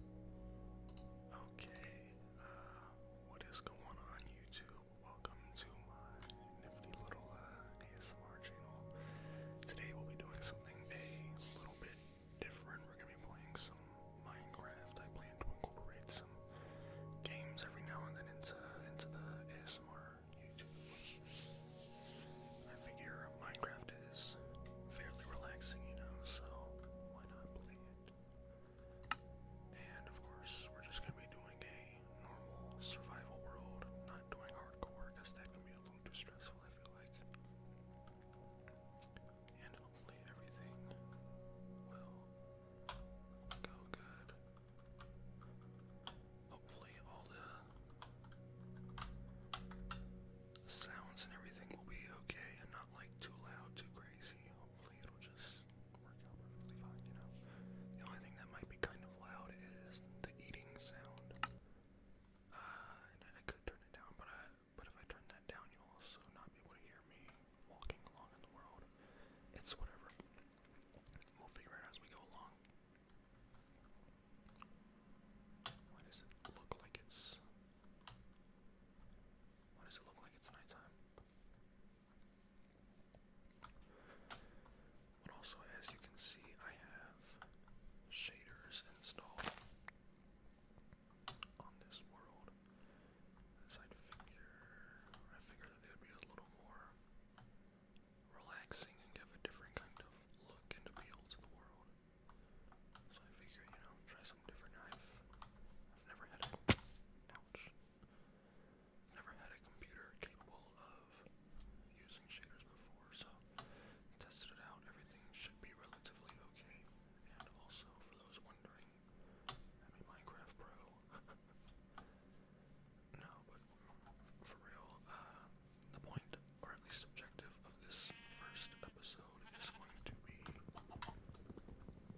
Okay, uh, what is going on YouTube? Welcome to my nifty little uh, ASMR channel. Today we'll be doing something a little bit different. We're gonna be playing some Minecraft. I plan to incorporate some games every now and then into into the ASMR YouTube. I figure Minecraft is fairly relaxing, you know, so why not play and of course, we're just gonna be doing a normal survival world, not doing hardcore, because that can be a little too stressful, I feel like. And hopefully everything will go good. Hopefully all the sounds and everything will be okay and not like too loud, too crazy. Hopefully, it'll just work out perfectly fine, you know. The only thing that might be kind of loud is the eating sound. Uh, I could turn it down, but but if I turn that down, you'll also not be able to hear me walking along in the world. It's whatever. We'll figure it out as we go along. Why does it look like it's why does it look like it's nighttime? But also, as you can see, I have shaders installed on this world. As I figure, I figure that they would be a little more relaxing and give a different kind of look and appeal to the world. So I figure, you know, try some different knife. I've never had a ouch. Never had a computer capable of using shaders before, so tested it out. Everything should be relatively okay. And also for those wondering, I mean Minecraft Pro. no, but for real, uh the point, or at least objective, of this first episode code is going to be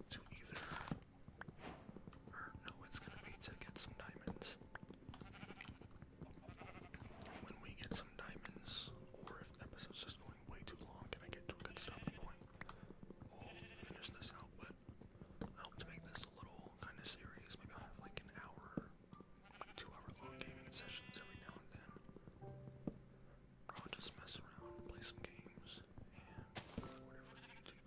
to either, or no, it's going to be to get some diamonds. When we get some diamonds, or if episode's just going way too long and I get to a good stopping point, we'll finish this out, but I hope to make this a little kind of series. Maybe I'll have like an hour, two hour long gaming sessions every now and then. I'll just mess around, play some games, and record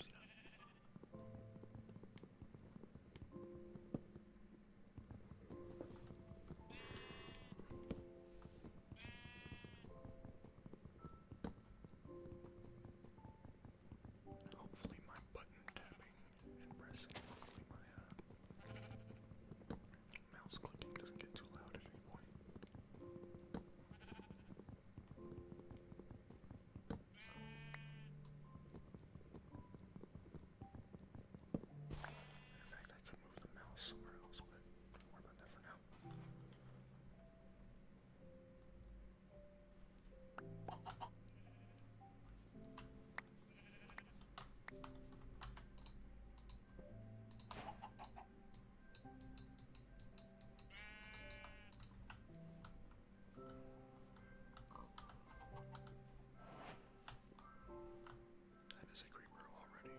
Hopefully, my button tapping and pressing, mouse clicking doesn't get too loud at any point. In fact, I could move the mouse somewhere else, but do about that for now. That is a creeper already.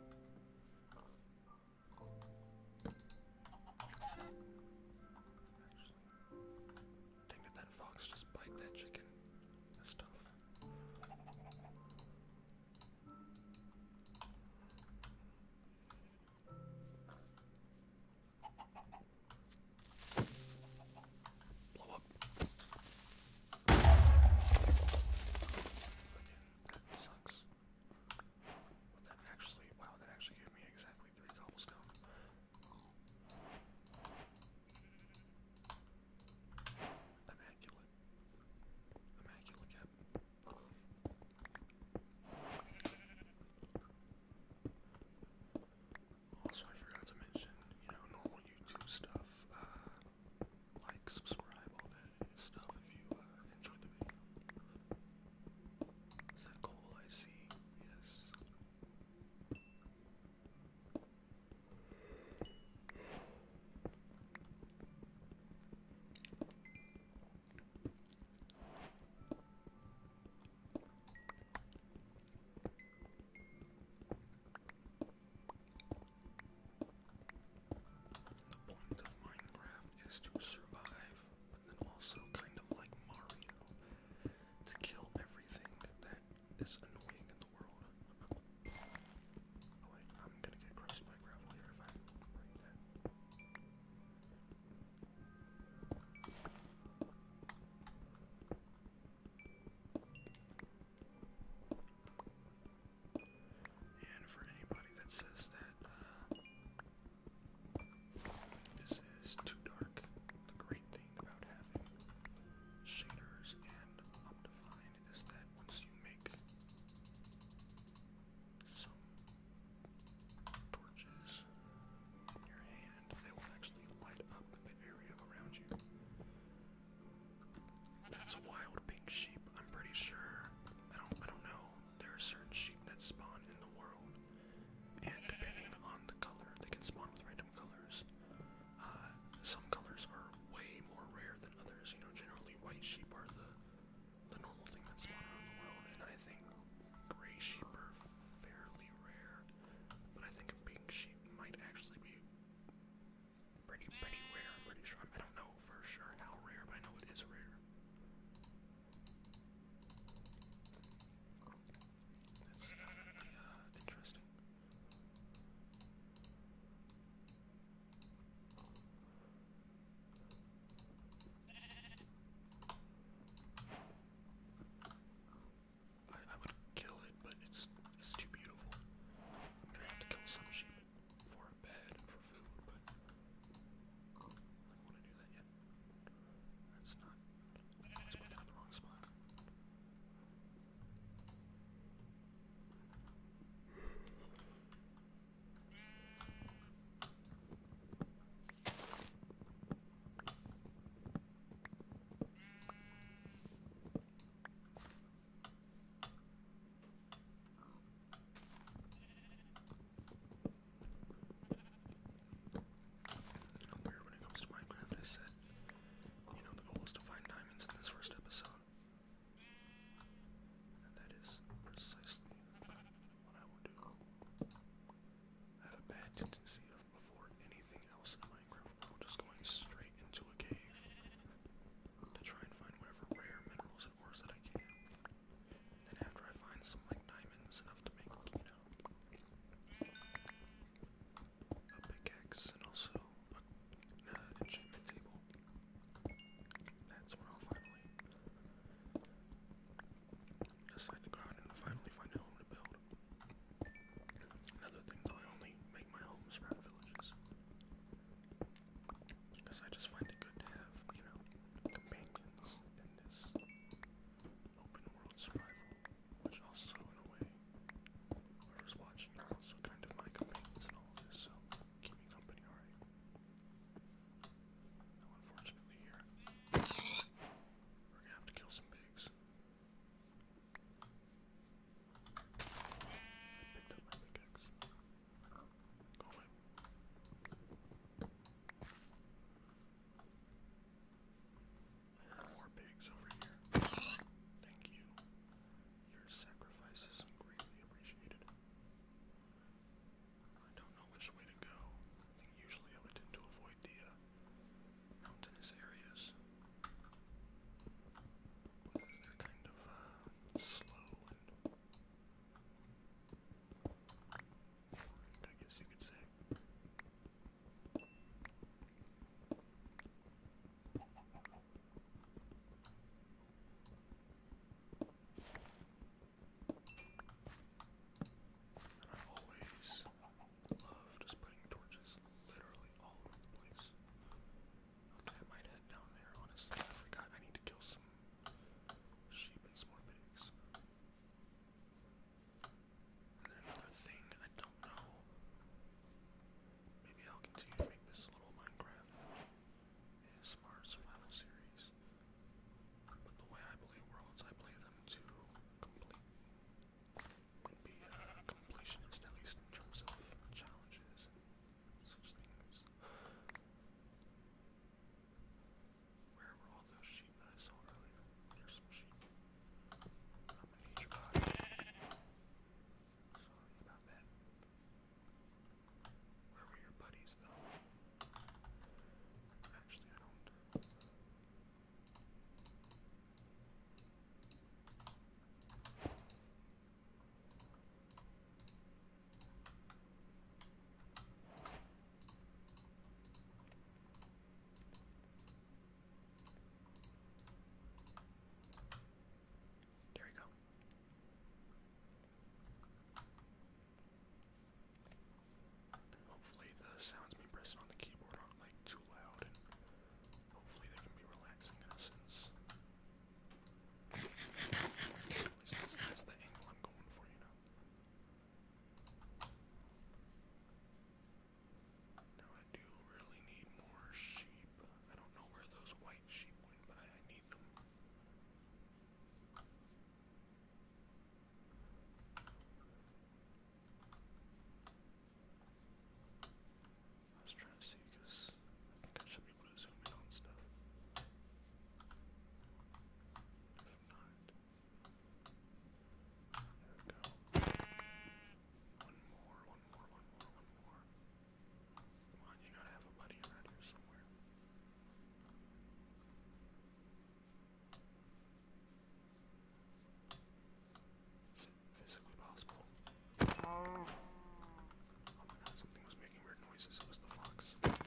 dang did that fox just bite that chicken? That's tough. Blow up. Again, that sucks. But that actually, wow, that actually gave me exactly three cobblestone. Immaculate. Immaculate, Captain. Also, I forgot to mention, you know, normal YouTube stuff, uh, like, subscribe, all that stuff if you uh, enjoyed the video. Is that coal I see? Yes. The point of Minecraft is to survive, but then also kind of like Mario, to kill everything that is annoying in the world. Oh, I'm gonna get crushed by gravel here if I And for anybody that says that uh, this is too dark, the great thing about having shaders and Optifine is that once you make some torches in your hand. They will actually light up the area around you. That's wild pink sheep. I'm pretty sure. I don't. I don't know. There are certain sheep that spawn in the world, and depending on the color, they can spawn with random colors. Uh, some colors are way more rare than others. You know, generally white sheep are the the normal thing that's spawned around the world, and I think gray sheep are fairly rare, but I think a pink sheep might actually be pretty, pretty rare, I'm pretty sure. I don't know for sure how rare, but I know it is rare. It's definitely uh, interesting. I, I would kill it, but it's it's too beautiful. I'm gonna have to kill some sheep for a bed and for food, but I don't want to do that yet. That's not. I was putting that in the wrong spot. I'm weird when it comes to Minecraft. I said, you know, the goal is to find diamonds in this first episode. And that is precisely what I will do. I have a bad tendency of before anything else in Minecraft, i just going straight into a cave to try and find whatever rare minerals and ores that I can. then after I find some like diamonds enough to make, you know, a pickaxe and also an enchantment table. That's when I'll finally Decide to go and finally find a home to build. Another thing, though, I only make my homes around villages. Because I just find it good to have, you know, companions in this open world survival, which also, in a way, whoever's watching also kind of my companions and all this, so keep company, alright? No, unfortunately, here. We're gonna have to kill some pigs. I up my pickaxe. more pigs over here. Thank you. Your sacrifices are greatly appreciated. I don't know which way to go. usually I would tend to avoid the uh, mountainous areas. Because they're kind of uh, slow and I guess you could say. And I always love just putting torches literally all over the place. I'll head down there, honestly. I forgot I need to kill some sheep and some pigs. And another thing I don't know. Maybe I'll continue to make this little Minecraft ASMR survival series. But the way I play worlds, I play them to uh, completionist, at least in terms of challenges Where were all those sheep that I saw earlier? There's some sheep. I'm gonna need your body. Sorry about that. Where were your buddies, though? Actually, I don't. There we go. Hopefully the sounds me pressing on the keyboard aren't like too loud and hopefully they can be relaxing in a sense. At least that's, the angle I'm going for, you know. Now I do really need more sheep. I don't know where those white sheep went, I need them. I was trying to see because I think I should be able to zoom in on stuff. If not, there we go. One more, one more, one more, one more. Come on, you gotta have a buddy around here somewhere. Physically possible. Oh my god, something was making weird noises. It was the fox. There you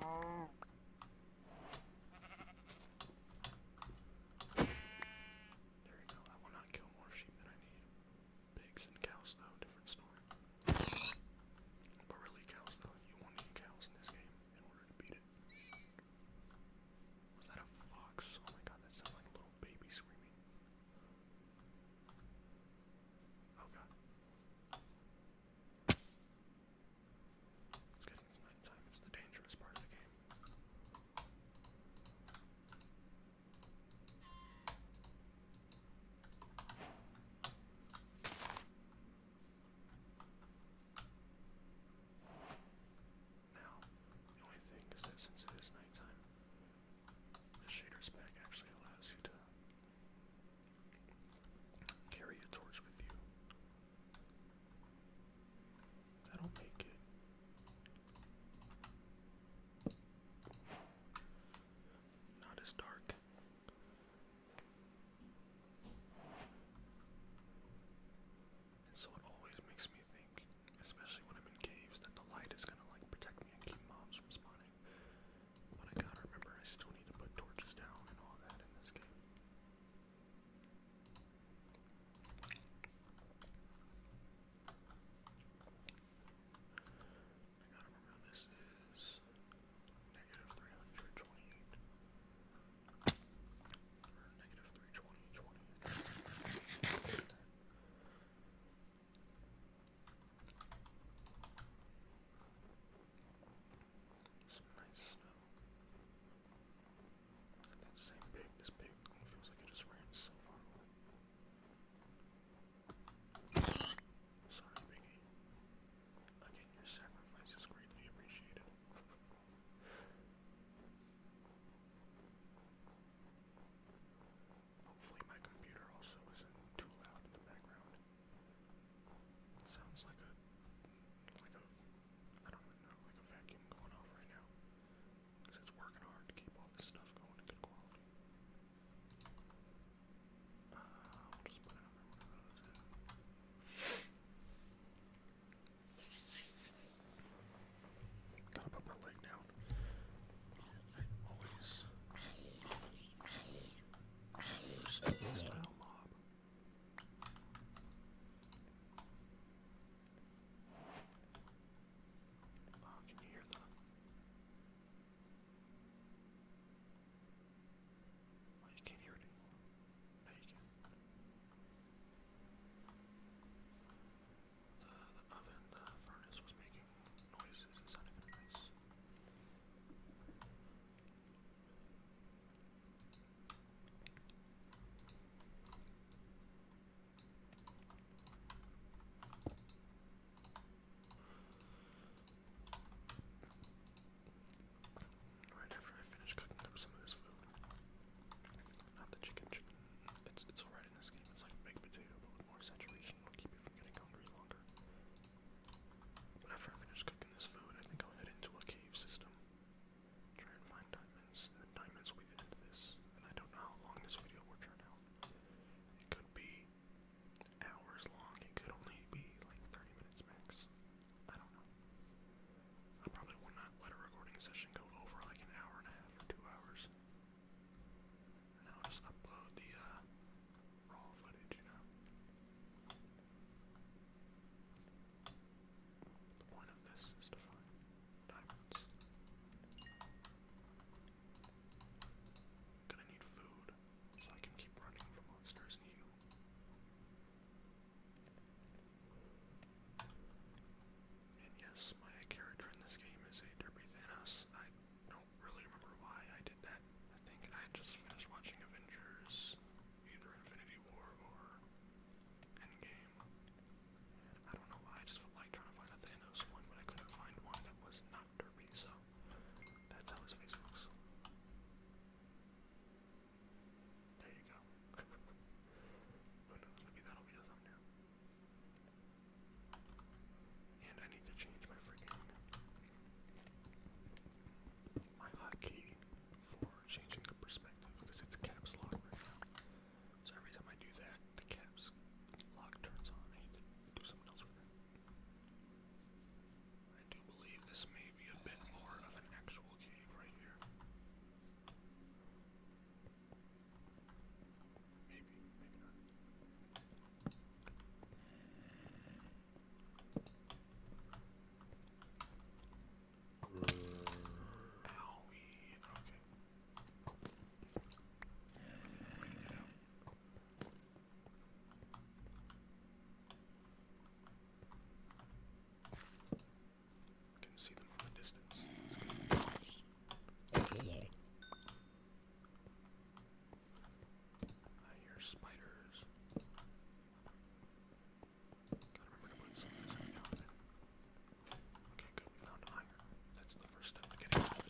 go. I will not kill more sheep than I need. Pigs and cows, though, different story. But really, cows though. You will cows in this game in order to beat it. Was that a fox? Oh my god, that sounded like a little baby screaming. Oh god. It's getting night It's the dangerous part of the game. Now, the only thing is that since it is nighttime, the shader's pack actually allows you to carry a torch with you. That'll make it. Not as dark. And so it always makes me think, especially when I'm in caves, that the light is gonna like protect me and keep mobs from spawning. But I gotta remember I still need to put torches down and all that in this game. I gotta remember this is negative 328, or negative Some nice snow. It's like that same pig, this pig feels like it just ran so far away. Sorry, Biggie. Again, your sacrifice is greatly appreciated. Hopefully, my computer also isn't too loud in the background. sounds like a, like a, I don't know, like a vacuum going off right now. it's working hard to keep all this stuff going in good quality. Uh, will just put another one of those Gotta put my leg down. I always use a mob. Oh, can hear that? Oh, you can't hear it anymore. No, you can. The, oven uh, furnace was making noises. It sounded nice right after I finish cooking up some of this food. Not the chicken, It's it's alright in this game. It's like baked potato, but with more saturation, it keep you from getting hungry longer. But after I finish cooking this food, I think I'll head into a cave system. Try and find diamonds, uh, diamonds will this. And I don't know how long this video will turn out. It could be hours long. It could only be like 30 minutes max. I don't know. I probably will not let a recording session go over like an hour and a half or two hours. And I'll just upload the uh, raw footage, you know. The point of this is to find diamonds. Gonna need food so I can keep running from monsters and heal. And yes, my character in this game is a Derby Thanos. I don't really remember why I did that. I think I just finished watching Avengers, either Infinity War or Endgame. I don't know why, I just felt like trying to find a Thanos one, but I couldn't find one that was not Derby, so that's how his face looks. There you go. oh no, maybe that'll be a thumbnail. And I need to change my freaking my hotkey for changing the perspective because it's caps lock right now. So every time I do that, the caps lock turns on. I need to do something else I do believe this may be a bit more of an actual cave right here. Maybe, maybe okay. we didn't see them from a distance. I hear spiders. Okay, good. We found iron. That's the first step to getting those.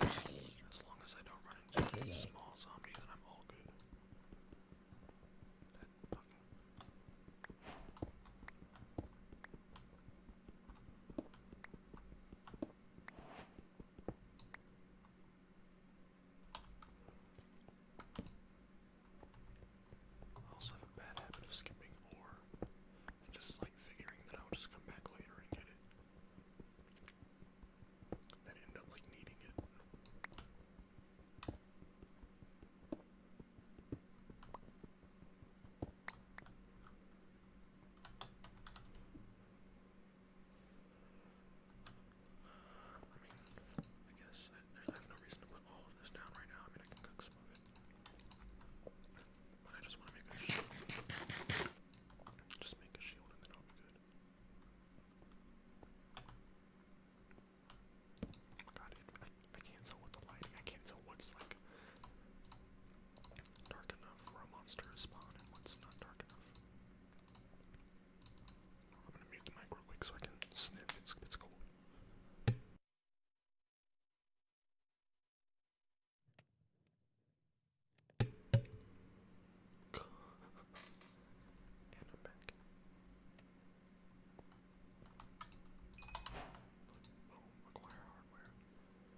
As long as I don't run into a small zombie, then I'm all good. I also have a bad habit of skipping and just like figuring that I'll just come back later and get it. Then end up like needing it. Uh, I mean, I guess there's no reason to put all of this down right now. I mean, I can cook it. I just want to make a shield. Just make a shield and then I'll be good. God, it, I, can't tell what the lighting, I can't tell what's like dark enough for a monster to spawn and what's not dark enough. I'm gonna mute the mic real quick so I can sniff, it's, it's cold and I'm back. acquire hardware.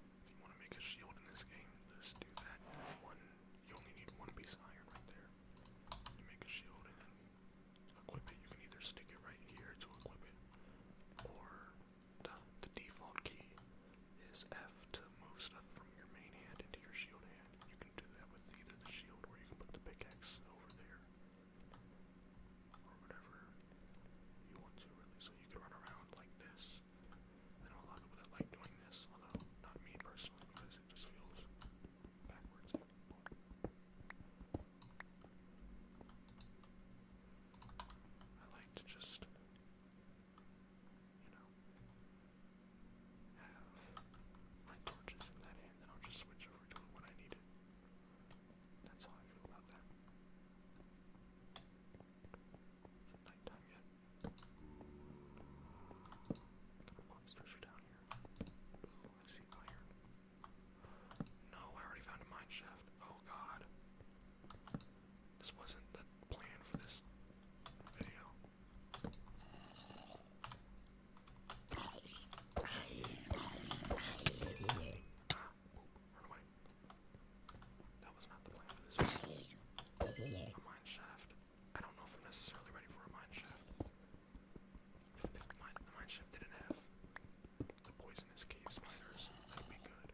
If you want to make a shield in this game, just do that. One, you only need one piece of iron right there. You make a shield and then equip it. You can either stick it right here to equip it, or the default key is F to move stuff from your main hand into your shield hand. You can do that with either the shield or you can put the pickaxe over there. Or whatever you want to really. So you can run around like this. I know a lot of people like doing this, although not me personally because it just feels backwards. I like to just, you know, have my torches in that hand, then I'll just switch over to it when I need it. That's how I feel about that. Is nighttime yet? The monsters are down here. Ooh, I see iron. No, I already found a mine shaft. Oh god. This wasn't the plan for this video. That was not the plan for this video. A mine shaft. I don't know if I'm necessarily ready for a mine shaft. If, the, mine, the didn't have the poisonous cave spiders, that'd be good.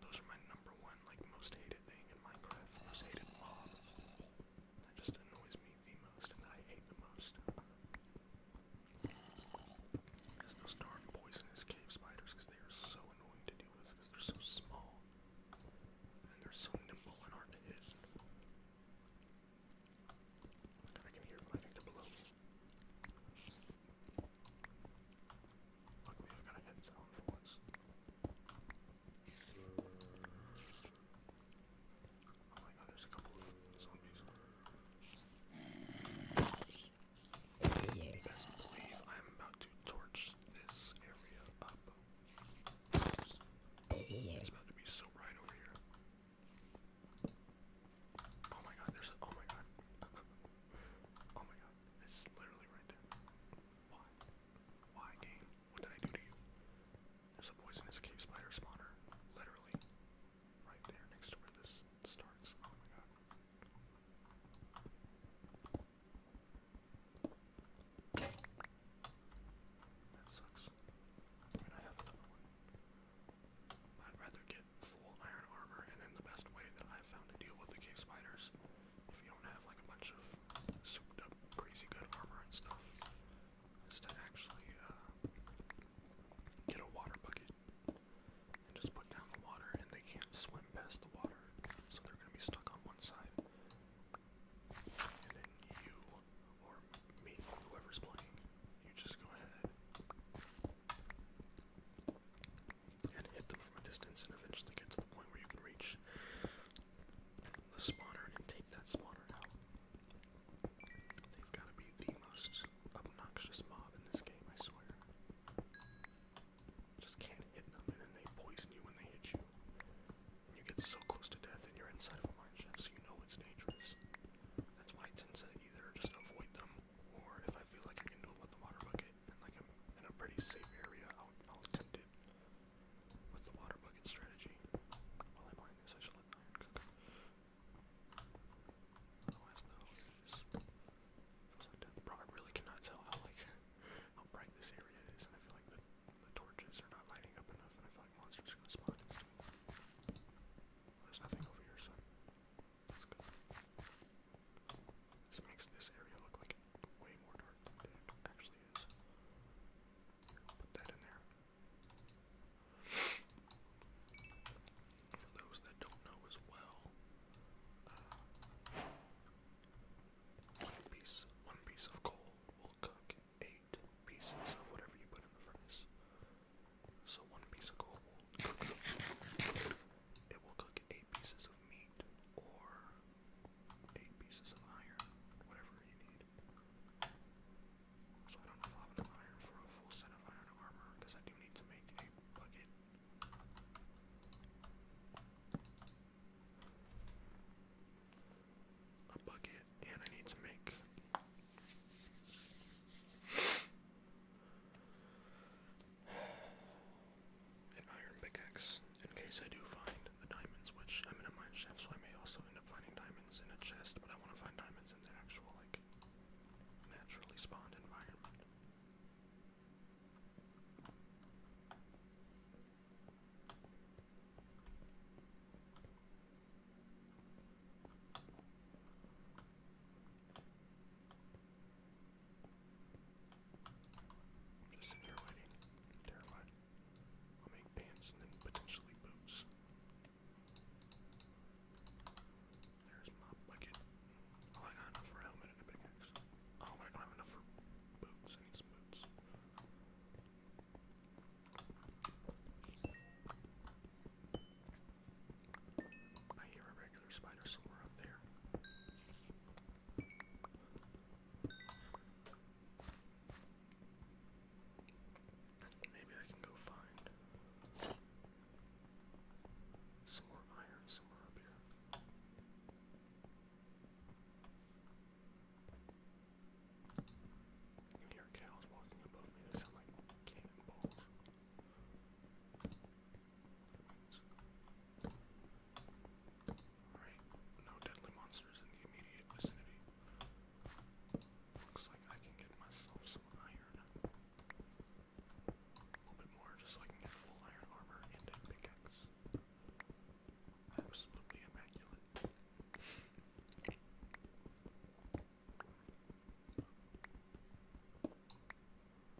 Those are my number one, like, most hated thing in Minecraft. Most hated mob. That just annoys me the most and that I hate the most. Is those darn poisonous cave spiders, because they are so annoying to deal with, because they're so small. And they're so nimble and hard to hit. I can hear them, I below Luckily, I've got a headset on for once. Oh my god, there's a couple of zombies. Best believe I'm about to torch this area up. It's about to be so bright over here. Oh my god, there's a. Oh my god. oh my god. It's literally right there. Why? Why, game? What did I do to you? There's a poisonous cave spider spawner. Literally. Right there next to where this starts. Oh my god. That sucks. I have another one. I'd rather get full iron armor, and then the best way that I've found to deal with the cave spiders, if you don't have like a bunch of souped up crazy good armor and stuff, is to actually uh, get a water bucket and just put down the water, and they can't swim past the water, so they're gonna be stuck on one side. And then you, or me, whoever's playing, you just go ahead and hit them from a distance, and eventually get to the point where you can reach the spawner and take that spawner out. They've got to be the most obnoxious mob in this game, I swear. Just can't hit them, and then they poison you when they hit you. you get so close to death, and you're inside of a mine shaft, so you know it's dangerous. That's why I tend to either just avoid them, or if I feel like I can do it with the water bucket bucket like i in a pretty safe area, I'll, attempt it with the water bucket strategy. While I'm playing I really cannot tell how like how bright this area is, and I feel like the torches are not lighting up enough, and I feel like monsters are gonna spawn. there's nothing over here, so this makes this area look like way more dark than it actually is. Put that in there. For those that don't know as well, uh, one piece one piece of coal will cook eight pieces of whatever you put in the furnace. So one piece of coal it will cook eight pieces of meat or eight pieces of iron, whatever you need. So I don't know if i have enough iron for a full set of iron armor, because I do need to make a bucket. A bucket, and I need to make an iron pickaxe in case I do find the diamonds, which I'm in a mine shaft, so I may also end up finding diamonds in a chest, but I want to find diamonds in the actual, like, naturally spawned environment. Just sitting here waiting. Terrified. I'll make pants and then potentially boots. There's my bucket. Oh, I got enough for a helmet and a pickaxe. Oh, but I don't have enough for boots. I boots. I hear a regular spider somewhere up there. Maybe I can go find some more iron somewhere up here. You hear cows walking above me. They cannonballs. Alright, no deadly monsters in the immediate vicinity. Looks like I can get myself some iron. A little bit more just so I can get full iron armor and pickaxe. Absolutely immaculate.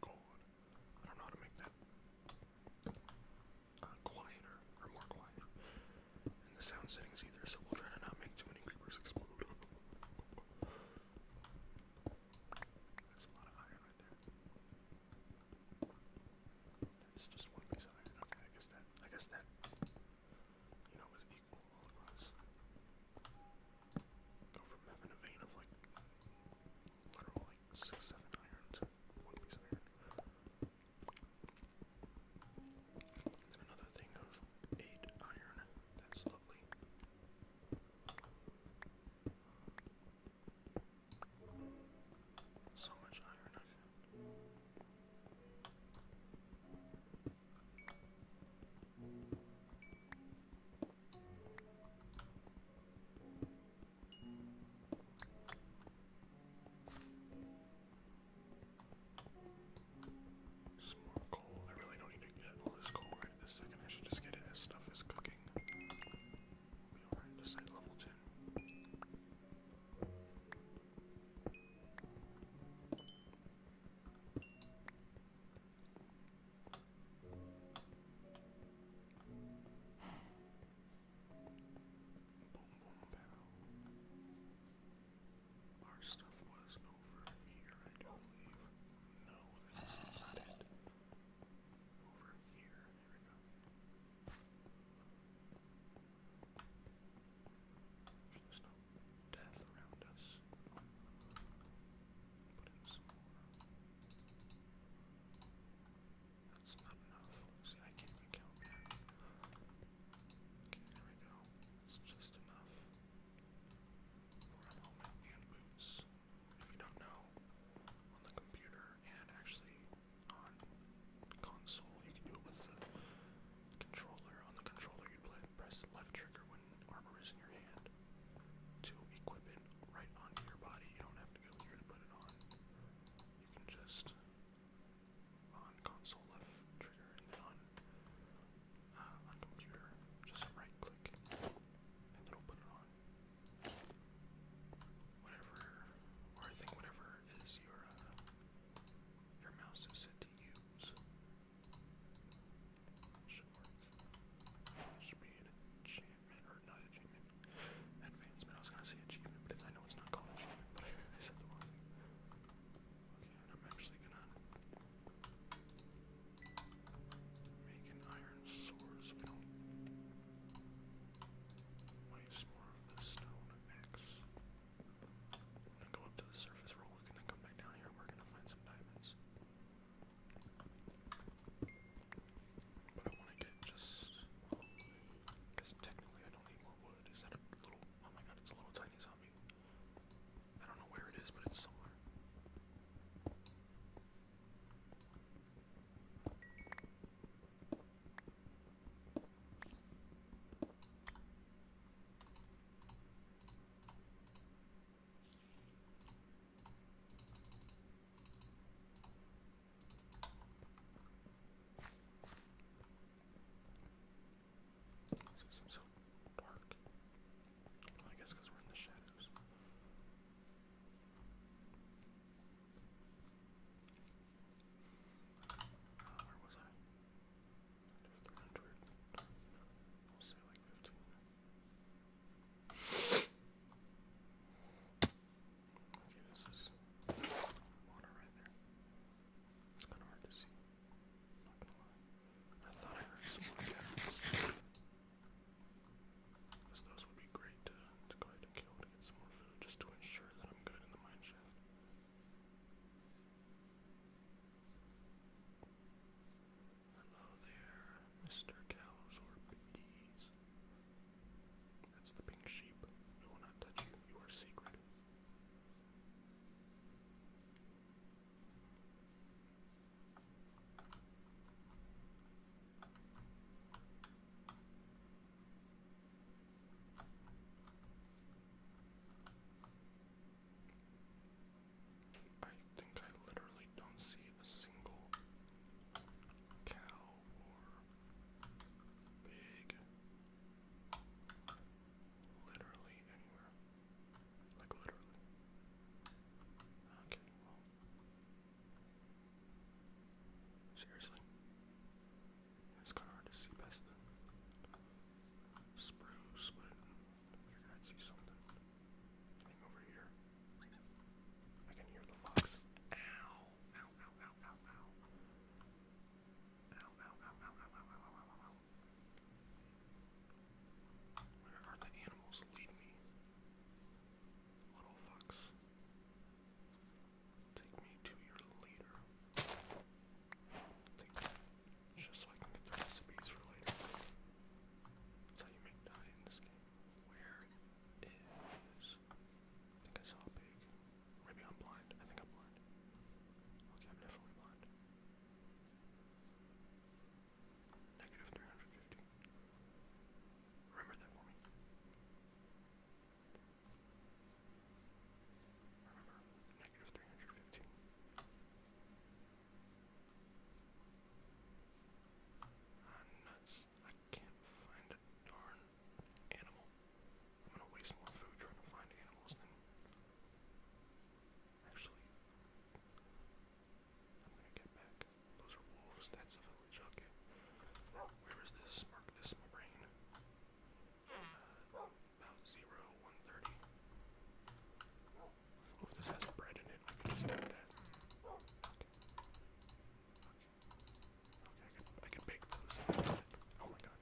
gold. I don't know how to make that uh, quieter or more quiet. And the sound settings either, so we'll try to not make too many creepers explode. That's a lot of iron right there. That's just one piece of iron. Okay, I guess that I guess that you know was equal all across go from having a vein of like literal like six, seven iron to another thing of eight iron. That's lovely. So much iron. Some more coal. I really don't need to get all this coal right this second. I should just get it as stuff is cooking. We are just at level 10. Boom, boom, Our stuff was over here, I do believe. No, that's not it. Over here, there we go. There's no death around us. That's not enough. See, I can't even Okay, there we It's just enough for a helmet and boots. If you don't know, on the computer and actually on console, you can do it with the controller. On the controller, you press left trigger when armor is in your hand to equip it right onto your body. You don't have to go here to put it on. You can just on console left trigger and then on uh, on computer just right click and it'll put it on. Whatever, or I think whatever is your uh, your mouse is set to use. Should or not enchantment, advancement. I was gonna say achievement, but I know it's not called achievement, but I said the wrong Okay, and I'm actually gonna make an iron sword so we axe. I'm gonna go up to the surface real and then come back down here and we're gonna find some diamonds. But I want to get just. because technically I don't need more wood. Is Oh my god, it's a little tiny zombie. I don't know where it is, but it's somewhere. This is so dark. I guess we're in the shadows. Uh, where was I? 100. we Okay, this is water right there. It's kind of hard to see. i not gonna lie. I thought I heard some more cats. Because those would be great to, to go ahead and kill to get some more food just to ensure that I'm good in the mineshaft. Hello there, Mr. Cows or Pinkies. That's the pink sheep. We not touch you. You are sacred. I think I literally don't see a single cow or pig literally anywhere. Like literally. Okay, well. Seriously? It's kind of hard to see past the spruce, but I figured i see something. Coming over here. I can hear the fox. Ow! Ow, ow, ow, ow, ow. Ow, ow, ow, ow, ow, ow, ow, ow, ow, ow. Where are the animals? Lead me. Little fox. Take me to your leader. Take Just so I can get the recipes for later. That's how you make dye in this game. Where is. I think I saw a pig. Maybe I'm blind. I think I'm blind. Okay, I'm definitely blind. Negative 350. Remember that for me. Remember, negative 315. I'm nuts. I can't find a darn animal. I'm gonna waste more food trying to find animals than actually I'm gonna get back. Those are wolves, that's a village, okay. Where is this? Mark this in my brain. Uh, about zero, one thirty. If this has bread in it, we can just do that. Okay, I can, I can bake those if I want it. Oh my god.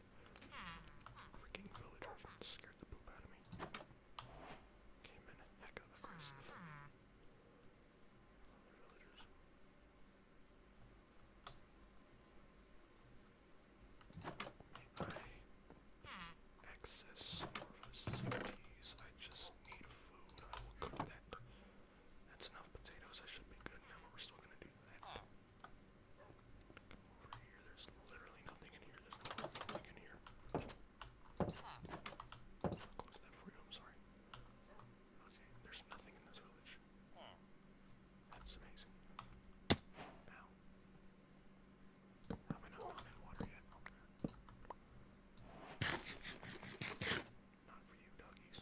Freaking villagers scared the poop out of me. Came in heck of aggressive. The villagers. May I access more facilities? I just does need food. I will cook that. That's enough potatoes. I should be good now, but we're still gonna do that. Come over here. There's literally nothing in here. There's nothing in here. I'll close that for you. I'm sorry. Okay, there's nothing in this village. That's amazing. Now, have I not gone in water yet? Not for you, doggies.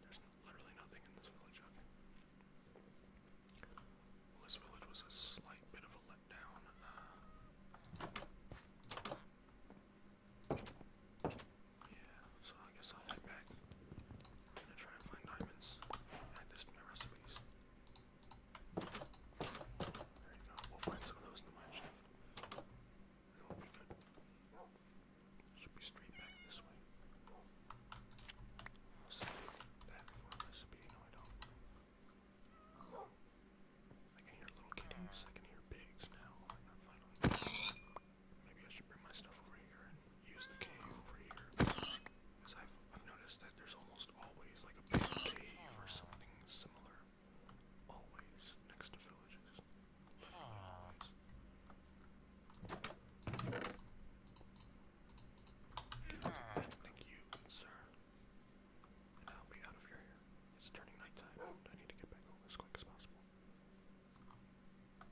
There's literally nothing in this village, this village was a slight bit of a letdown. Uh, yeah, so I guess I'll head back. I'm gonna try and find diamonds. Add this to my recipes. We'll find some of those in the mine should be straight back this way. So for a recipe, no I don't. I can hear little kitties, I can hear pigs now. I'm finally Maybe I should bring my stuff over here and use the cave over here. Because I've, I've noticed that there's almost always like a big cave or something similar. Thank you, sir. I'll be out of your hair. It's turning nighttime, and I need to get back home as quick as possible. Okay.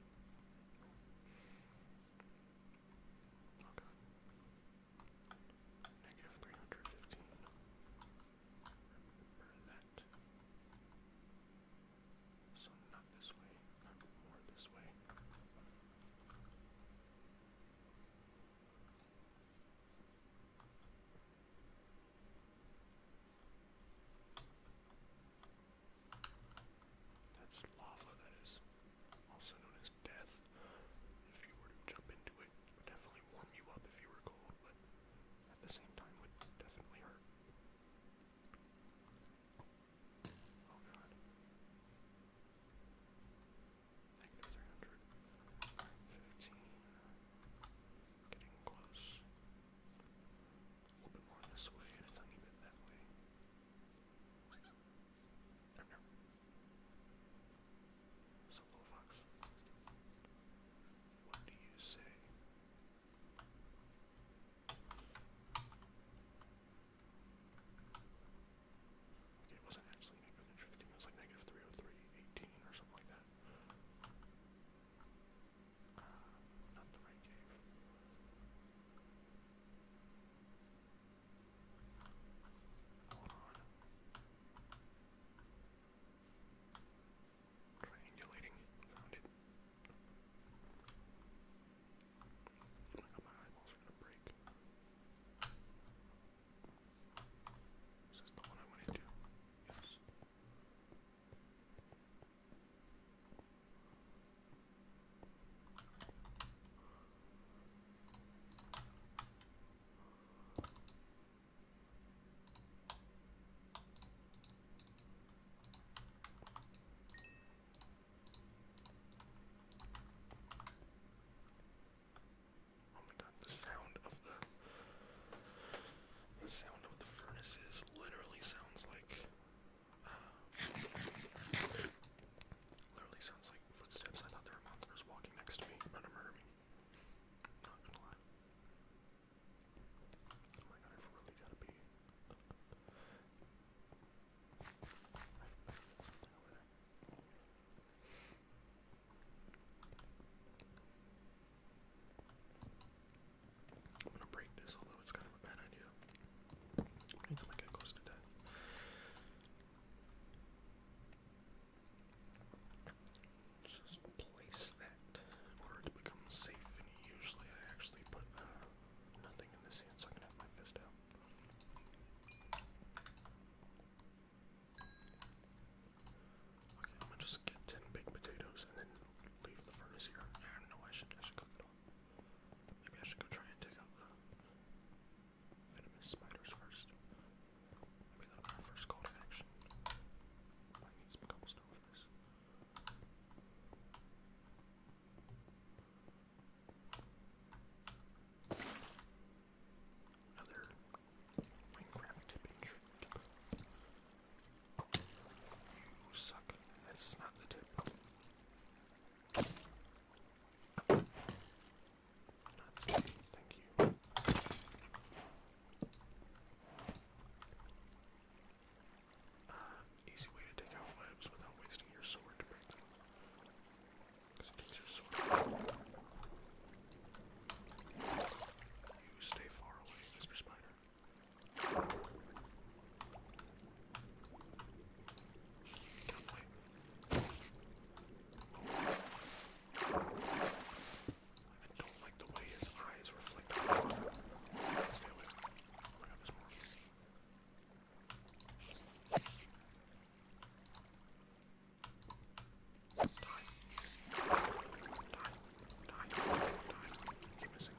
Negative three hundred fifteen. So not this way, more this way. That's lava, that is also known as death. If you were to jump into it would definitely warm you up if you were cold, but at the same time would definitely hurt. Oh god. Negative 300. Getting close. A little bit more this way and a tiny bit that way. There, no what do you say? it wasn't actually negative 15, it was like negative 303, 18 or something like that. Uh, not the right cave. Hold on triangulating. Found it. my eyeballs are gonna break. Is this the one I went into? Yes. Oh my god, the sound of the the sound of the furnaces literally sounds like um, literally sounds like footsteps. I thought there were monsters walking next to me, me. Not gonna lie. Oh my i am gonna break this, although it's kind of a bad idea. I need to close to death. Just place that in order to become safe. And usually I actually put uh, nothing in this hand so I can have my fist out. Okay, I'm gonna just get 10 baked potatoes and then leave the furnace here. I don't know, I should, I should cook it all. Maybe I should go try and take out the venomous spiders first. Maybe that first call to action. I need some cobblestone for this. Another Minecraft tip trick. You suck. That's not the tip. Not today, thank you. Uh, easy way to take out webs without wasting your sword to break them. Because it takes your sword. You stay far away, Mr. Spider. Can't wait. Oh. I don't like the way his eyes reflect the light. Let's do it. Oh my god, there's more. Die. Die. Die. Die. Keep missing.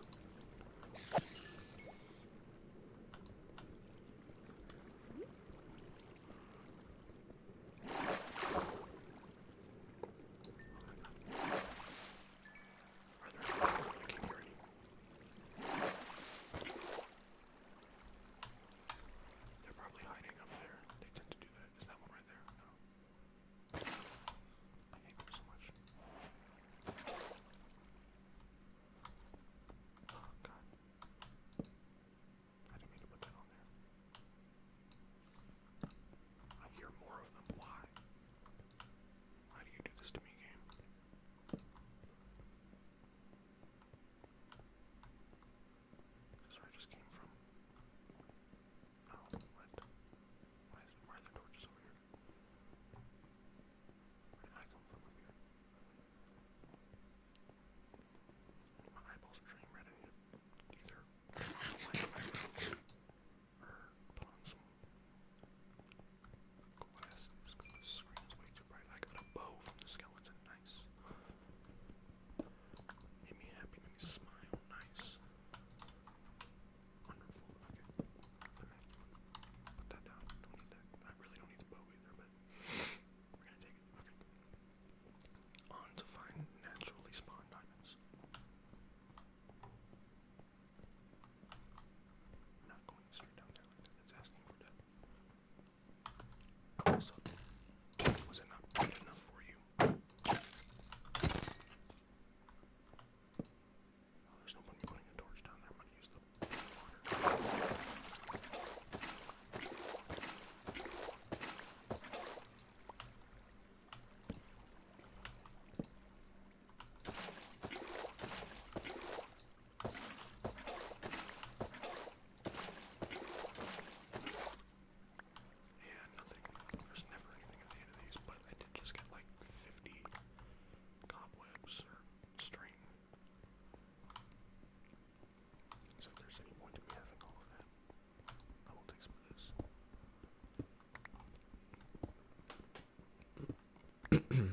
I can hear it. They're probably hiding up there. They tend to do that. Is that one right there? No. I hate them so much. Oh god. I didn't mean to put that on there. I hear more of them. Why? Why do you do this to me, game? This is I just came from. Oh, what? Why, are there torches over here? Where did I come from over here? My eyeballs are turning red. I need glasses because the screen is way too bright. I got a bow from the skeleton. Nice. Made me happy, made me smile. Nice. Wonderful. Okay. Put that down. Don't need that. I really don't need the bow either, but we're gonna take it. Okay on to find naturally spawned diamonds. not going straight down there like asking for death. was it not good enough for you? Oh, there's no point putting a torch down there. I'm gonna use the water. Yeah, nothing. There's never anything at the end of these, but I did just get like 50 cobwebs or string. So if there's any point in me having all of that. I will take some of this.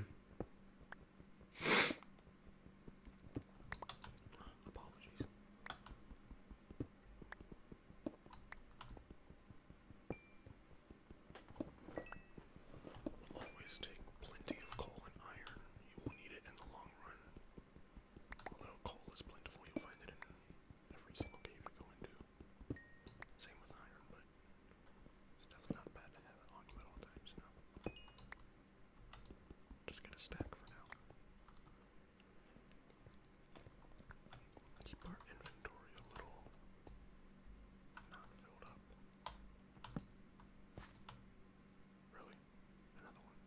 Always take plenty of coal and iron. You will need it in the long run. Although coal is plentiful, you'll find it in every single cave you go into. Same with iron, but it's definitely not bad to have it on you at all times, you Just get a stack for now. Keep our inventory a little not filled up. Really? Another one.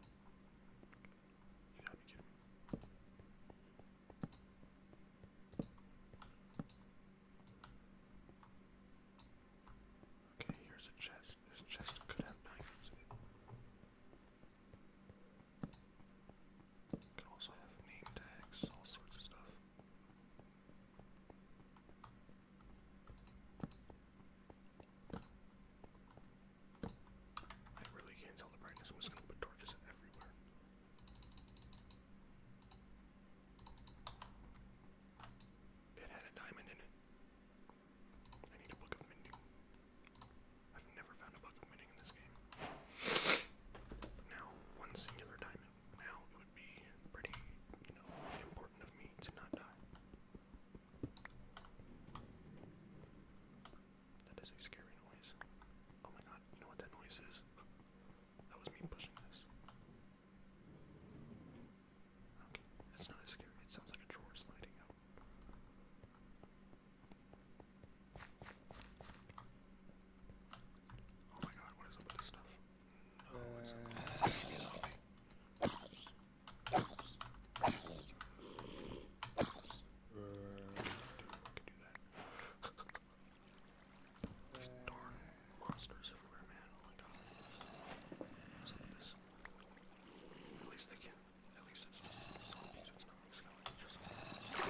Okay, here's a chest. This chest could have diamonds Could also have name tags, all sorts of stuff. I really can't tell the brightness. I'm just gonna put torches everywhere. It had a diamond in it. I book of mending. I've never found a book of mending in this game. now, one singular diamond. Now it would be pretty, important of me to not die. That is a scary noise. Oh my god, you know what that noise is? That was me pushing this. Okay, that's not as scary. It sounds like a drawer sliding out. Oh my god, what is up this stuff? Oh, what's up? Uh. Uh, I can do that. There's darn monsters everywhere, man. Oh my god. What's up with this? At least they can. At least it's just zombies. It's not like skeletons or something.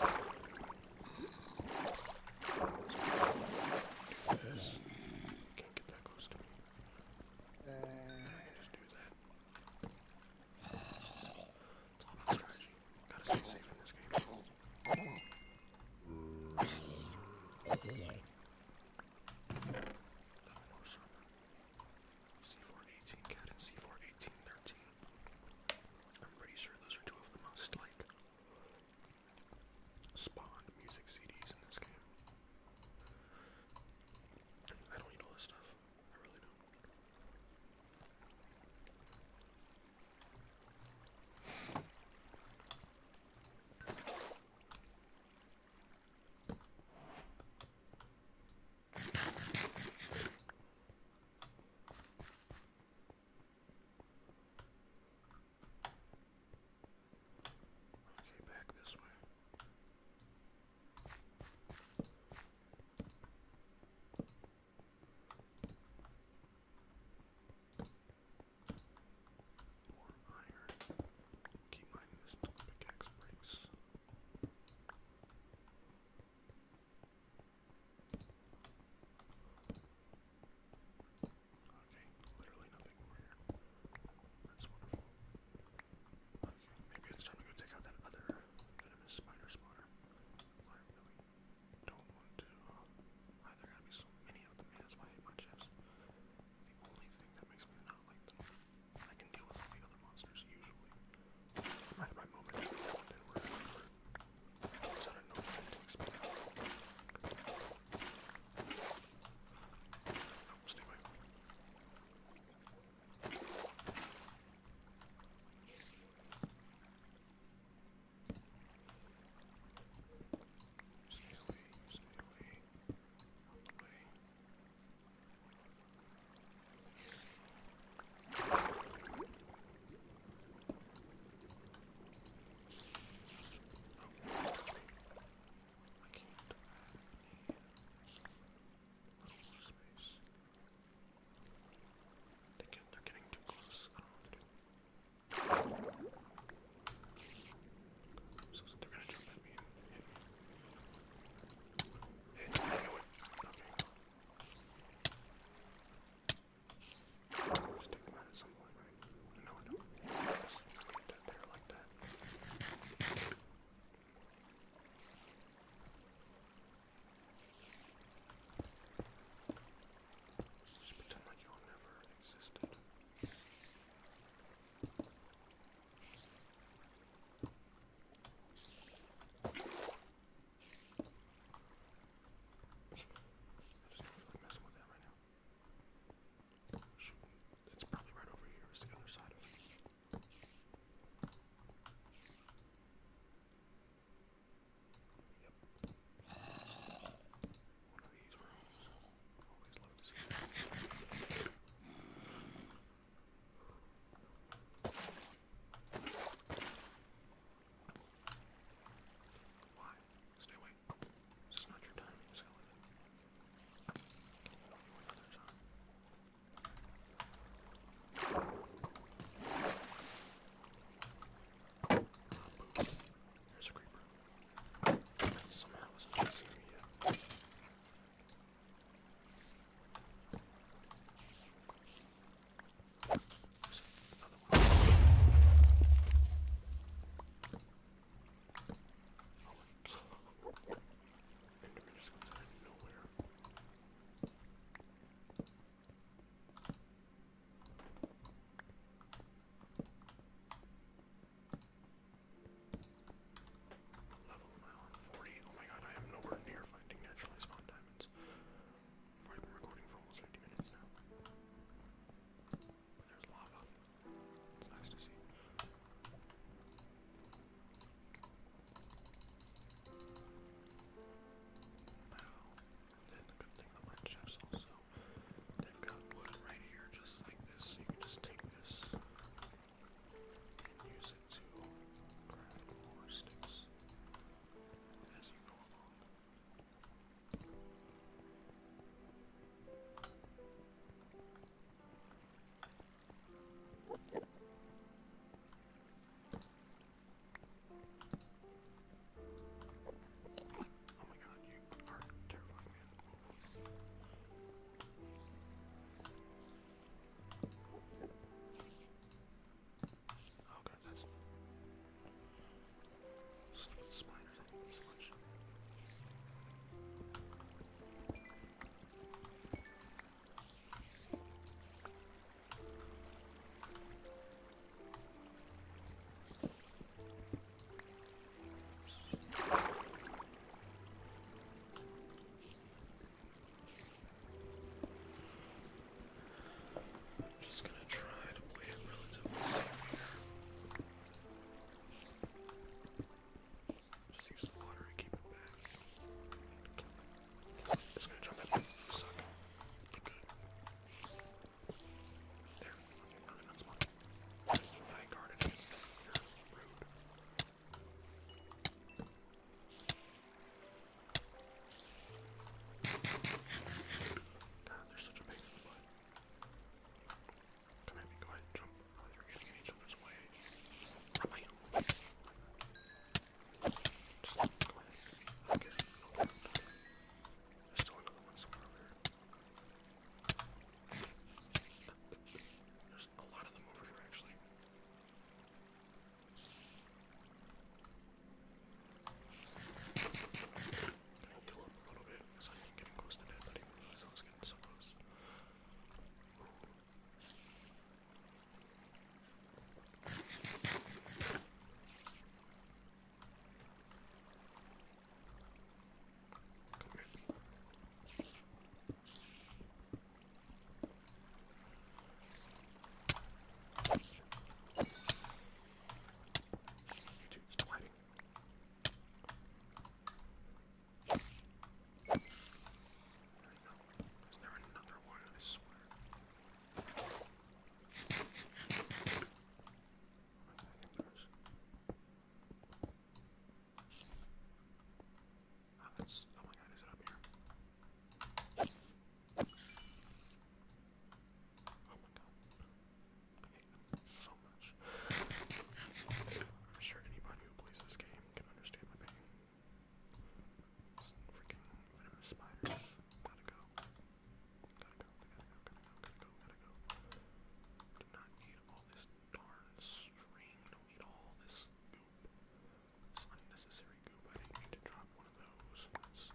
Yes. Can't get that close to me. Uh, I can just do that. Top strategy. Gotta stay safe in this game. C418 cat and C41813. I'm pretty sure those are two of the most like spawned music CDs in this game. I don't need all this stuff. I really don't. Okay, back this way. More iron. Keep mining this until the breaks. Okay, literally nothing over here. That's wonderful. Okay, maybe it's time to go take out that other venomous spider spawner don't want to, uh, I, there to be so many of them, that's why I hate the only thing that makes me not like them. I can deal with all the other monsters, usually. I had my moment I don't know what to expect. stay away. Steady, steady, away. Oh. I can't have any little space. They get, they're getting too close. I don't know what to do. So, so they're gonna jump at me and hit me. Hit me. Okay. Just take them out at some point, right? No, no. Just get that there like that. Just pretend like you all never existed. I just don't feel like messing with that right now. Shoot. It's probably right over here, it's the other side of it. Yep. One of these rooms. Always love to see that. Why? Stay away. This is not your time, you skeleton. You another time. There's a creeper. Somehow it's not seeing me yet. There's another one. Oh my god. Enderman just comes out of nowhere. Level I 40? Oh my god, I am nowhere near finding naturally spawned diamonds. I've been recording for almost 50 minutes now. There's lava. It's nice to see. Wow. Then a good thing about mine also, they've got wood right here just like this. You can just take this and use it to craft more sticks as you go along. Oh my god, you are terrifying, man. Oh god, that's spiders, I need so much. I'm just gonna try to play it relatively safe here. Just use the water and keep it back. Kill just gonna jump in. Suck. Get good. There. Ah, We're gonna unspot. I guard against them. You're rude. God, they're such a pain in the butt. Come at me, go ahead, jump. Oh, you're getting in each other's way. Run my Okay. There's still another one somewhere over here. There's a lot of them over here, actually. I'm gonna heal up a little bit because I am getting close to death. I didn't realize I was getting so close. Dude, stop hiding. There we go. Is there another one? I swear. Oh, my god, is it up here? Oh my god. I hate them so much. I'm sure anybody who plays this game can understand my pain. freaking venomous spiders. Gotta go. Gotta Do not need all this darn string. Don't need all this goop. This unnecessary goop. I didn't need to drop one of those. That's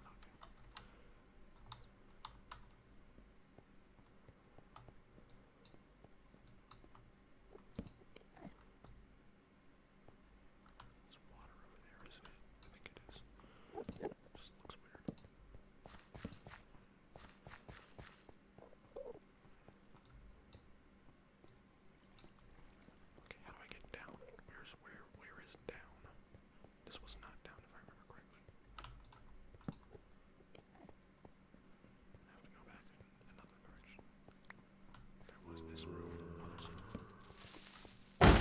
there's water Okay, how do I get down? Where's where where is down? This was not down if I remember correctly. I have to go back another direction. There was this room. Oh, that's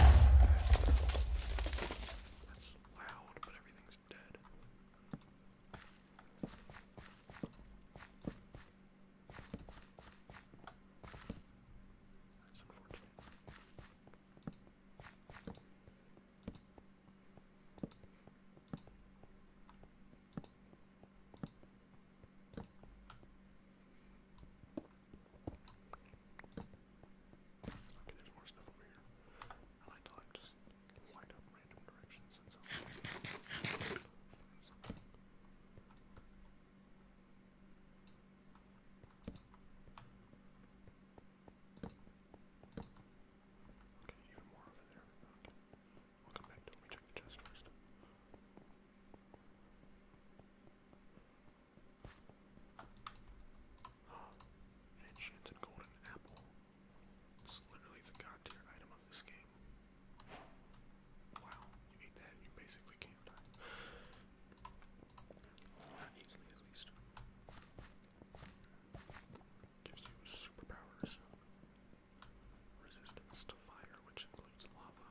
loud, but everything's dead. That's unfortunate. Okay, there's more stuff over here. I like to like just light up random directions and something. Okay, even more over there. Okay. We'll come back to it. Let me check the chest first. An enchanted golden apple. It's literally the god tier item of this game. Wow, you eat that, you basically can't die. Not easily, at least. Gives you superpowers. Resistance to fire, which includes lava.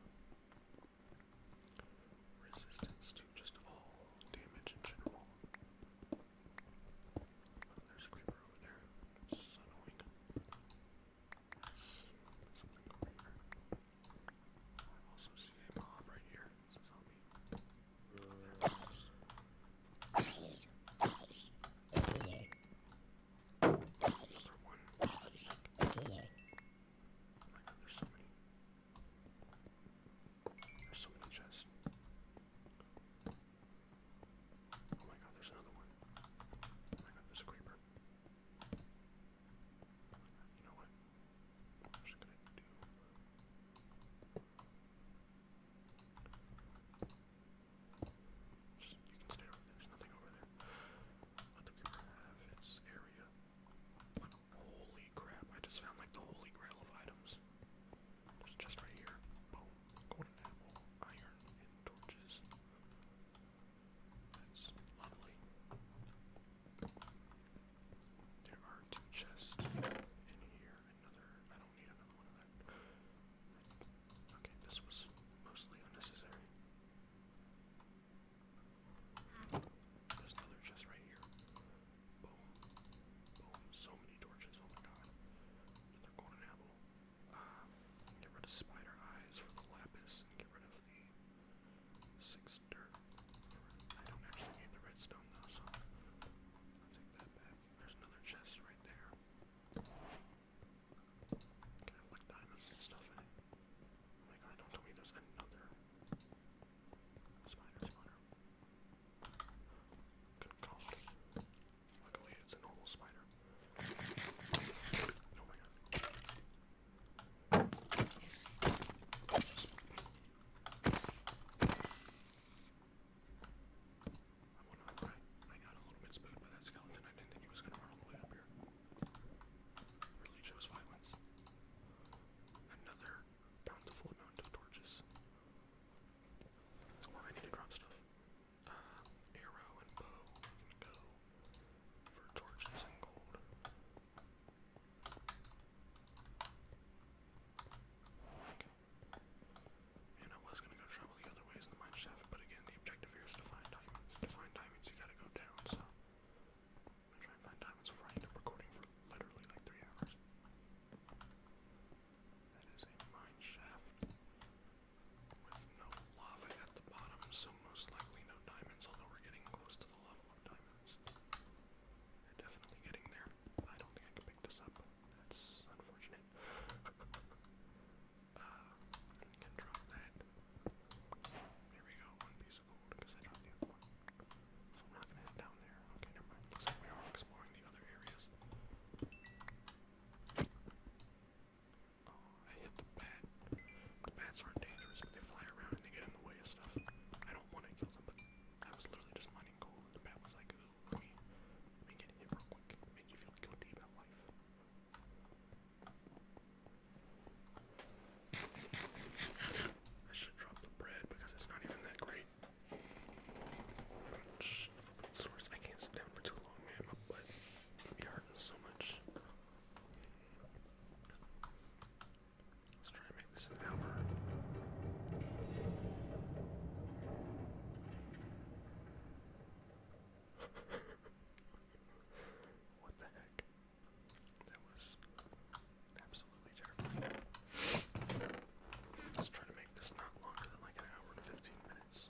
Resistance to just all damage in general. Oh, there's a creeper over there. It's annoying. That's something over here. I also see a mob right here. It's a zombie. Another one. Oh my god, there's so many. There's so many chests. Oh my god, there's another one. Oh my god, there's a creeper. You know what? I'm just gonna do. Just, you can stay over there. There's nothing over there. Let the creeper have its area. Holy crap, I just found like the holy grail of items. There's just right here. Boom. Golden apple, iron, and torches. That's lovely. There are two chests in here. Another, I don't need another one of that. Okay, this was mostly unnecessary. There's another chest right here. Boom. Boom. So many torches. Oh my god. Another golden apple. Ah. get rid of spider eyes for lapis get rid of the six dirt. I don't actually need the redstone though, so take that back. There's another chest right there. Can I have like diamonds and stuff in it? Oh my god, don't tell me there's another. Spider spawner. Good call. Luckily, it's a normal spider. Oh my god. i got a little bit spooked by that skeleton. I didn't think he was going to run all the way up here. Really shows violence. Another bountiful amount of torches. Well, I need to drop stuff. Uh, arrow and bow for torches and gold. Okay. And I was gonna go travel the other ways in the mine shaft, but again, the objective here is to find diamonds. to find diamonds, you gotta go down, so I'm trying to find Diamonds of Right. I'm recording for literally like three hours. That is a mine shaft with no lava at the bottom, so most likely no diamonds, although we're getting close to the level of diamonds. definitely getting there. I don't think I can pick this up. That's unfortunate. uh, can drop that. There we go, one piece of gold, because I dropped the other one. So I'm not gonna head down there. Okay, never mind. Looks like we are exploring the other areas. Oh, I hit the bat. The bats aren't dangerous, but they fly around and they get in the way of stuff. I don't want to kill them, but I was literally just mining gold, and the bat was like, ooh, let me, let me get hit real quick. Make you feel guilty about life. I should drop the bread because it's not even that great. source. I can't sit down for too long, man. My butt hurting so much. Let's try and make this an hour. what the heck? That was Absolutely terrible. Let's try to make this not longer than like an hour and 15 minutes.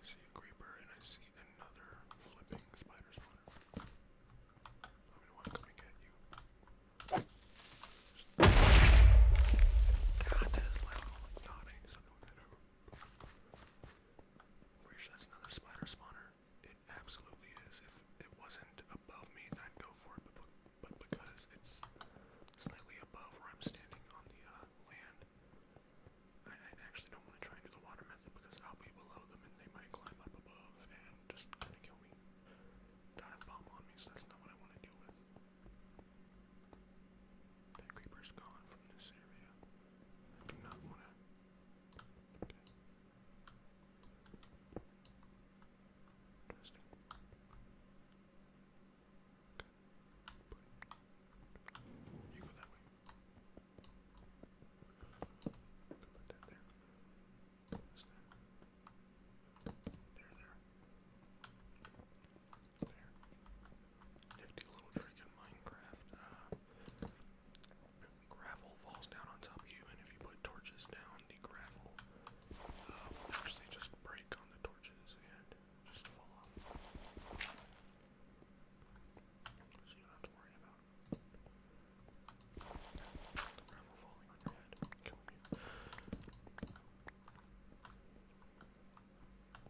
I see a creeper and I see another flipping spider spider. I'm gonna want coming at you. God, that is loud. Oh my Pretty sure that's another spider spawner. It absolutely is. If it wasn't above me, then I'd go for it, but, but because it's slightly above where I'm standing on the uh, land, I, I actually don't want to try and do the water method because I'll be below them and they might climb up above and just kind of kill me. Dive bomb on me, so that's not what I want to deal with. That creeper's gone from this area. I do not want to. Interesting. Okay. you go that way. Put that there. There, there there. Nifty little trick in Minecraft. Uh, gravel falls down on top of you, and if you put torches down, the gravel uh, will actually just break on the torches and just fall off. So you don't have to worry about the gravel falling on your head, killing you.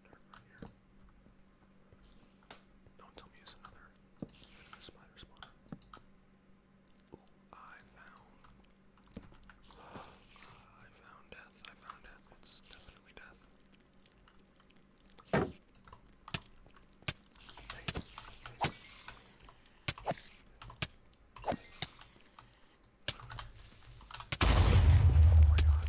Dark right here. Don't tell me it's another spider spawner. Ooh, I found. Uh, I found death. I found death. It's definitely death. Hey. Oh my god.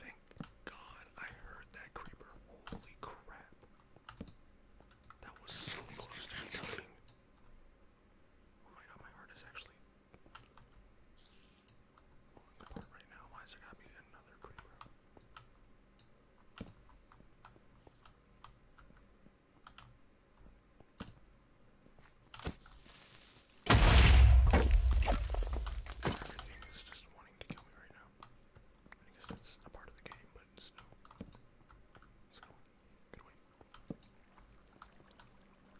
Thank God I heard that creeper. Holy crap. That was so close to me Oh my god, my heart is actually falling apart right now. Why is there gotta be another creeper? Everything is just wanting to kill me right now. I guess that's a part of the game, but still. Let's go. Good win.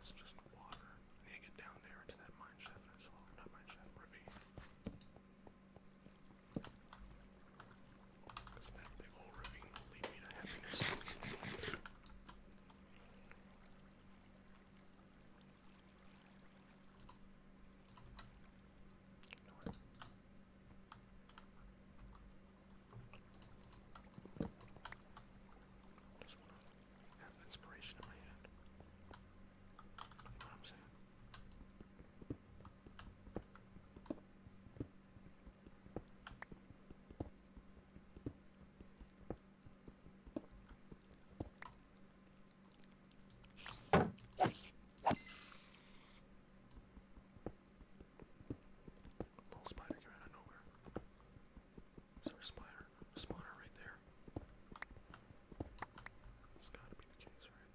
It's just water. I need to get down there into that mine shaft as well. Not mine shaft, ravine. Because that big old ravine will lead me to happiness. Just want to have inspiration in my hand. You know what I'm saying? Little spider came out of nowhere. Is a spider? A right there. It's gotta be the case, right?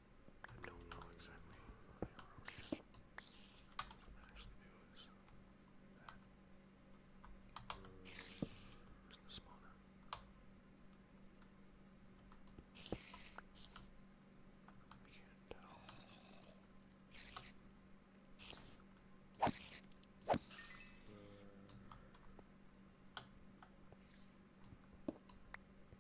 I don't know exactly what I wrote. What actually do is that. Where's the spawner? I can't tell. Where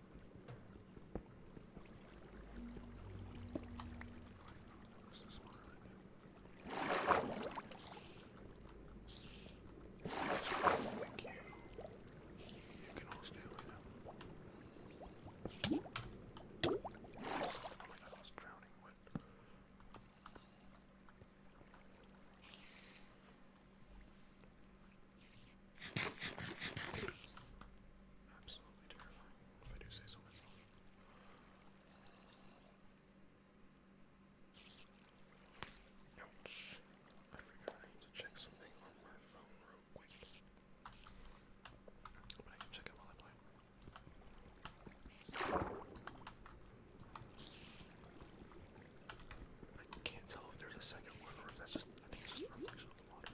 Thank you. You can all stay away now. Oh my god, I was drowning with. Absolutely terrifying, if I do say so myself. Ouch. I forgot I need to check something on my phone real quick. But I can check it while I play. I can't tell if there's a second one or if that's just I think it's just a reflection of the water.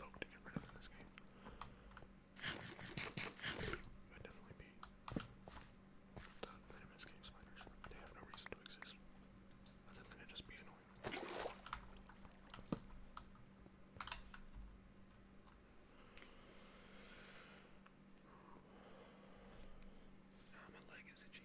vote to get rid definitely be the venomous game spiders. They have no reason to exist other than to just be annoying. Ah, my leg is itchy.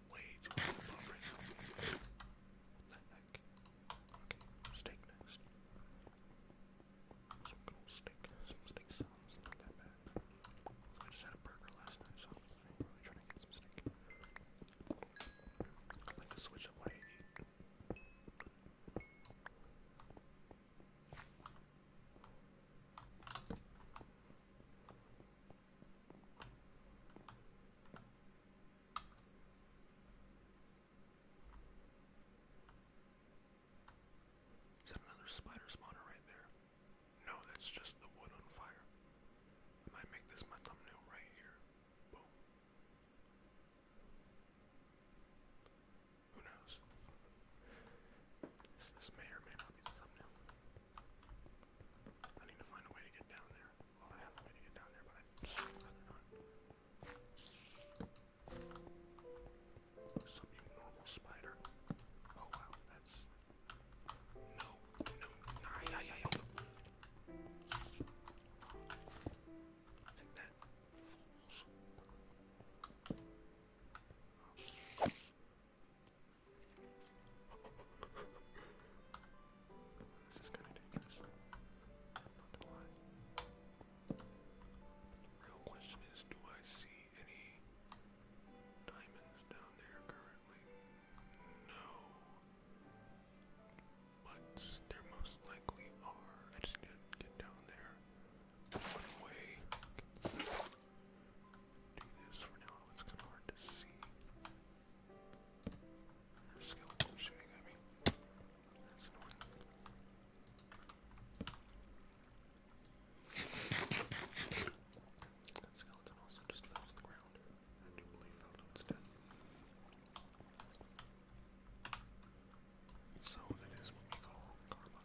way too much over it. What the heck? Okay, steak next. Some good old steak. Some steak sounds not that bad. So I just had a burger last night, so I'm really trying to get some steak. I like to switch up what I eat. Okay, is that another spider spawner right there? No, that's just the wood on fire. I might make this my thumbnail right here. Boom. Who knows? this may or may not be the thumbnail. I need to find a way to get down there. I don't have the way to get down there, but I'd rather not. Some normal spider. Oh wow, that's no, no, nah, yeah, yeah, yeah. Take that, fools. Oh. This is kind of dangerous. Not to lie. The real question is, do I see any diamonds down there currently? No. But there most likely are. I just need to get down there. Run away. Do this for now. It's kind of hard to see. There's skeleton shooting at me. That's annoying. that skeleton also just fell to the ground. I do believe fell to its death. So that is what we call karma.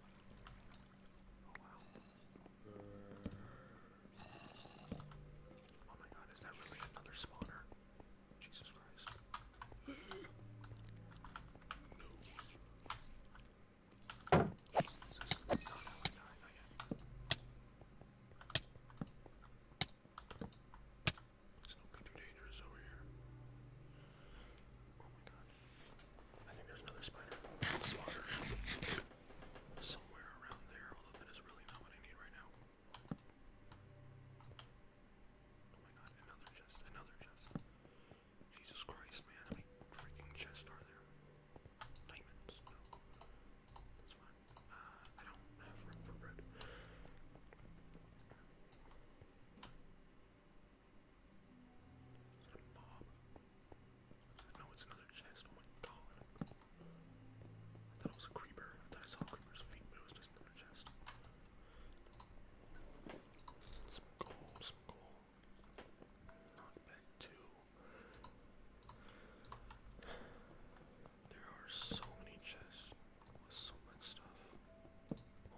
Oh wow. Oh my god, is that really another spawner? Jesus Christ. No. Is this no, no, I died, not yet. It's not too dangerous over here. Oh my god. I think there's another spider. Slaughter. Somewhere around there, although that is really not what I need right now. Oh my god, another chest, another chest. Jesus Christ, man, how many freaking chests are there? Diamonds, That's fine. Uh, I don't have room for bread. No, it's another chest. Oh my god. I thought it was a creeper. I thought I saw a creeper's feet, but it was just another chest. Some coal, some coal. Not bad too. There are so many chests with so much stuff.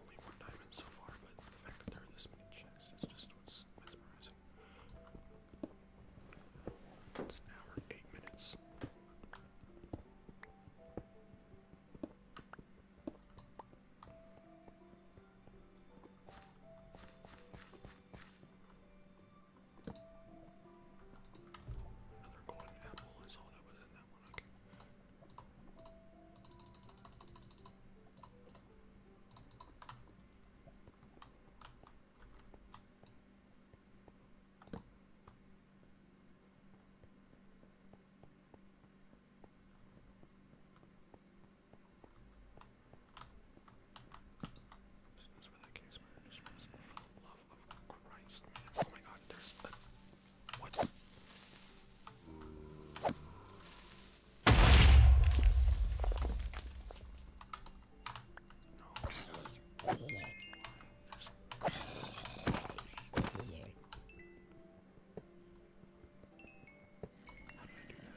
Only one diamond so far, but the fact that there are this many chests is just what's mesmerizing. It's an hour, eight minutes. Another golden apple is all that was in that one, okay. That's where that cave's merged. For the love of Christ, man. Oh my god, there's a. What? Oh my god,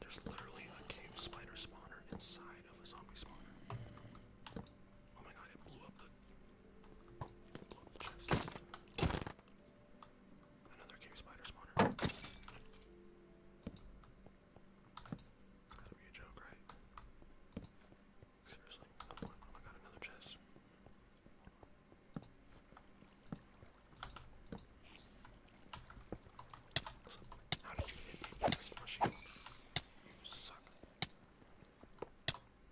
there's literally a cave spider spawner inside of a zombie spawner. Oh my god, it blew up the, chest. Another cave spider spawner. Gotta a joke, right? Seriously, no point. Oh my god, another chest. So, how did you hit this machine? You suck.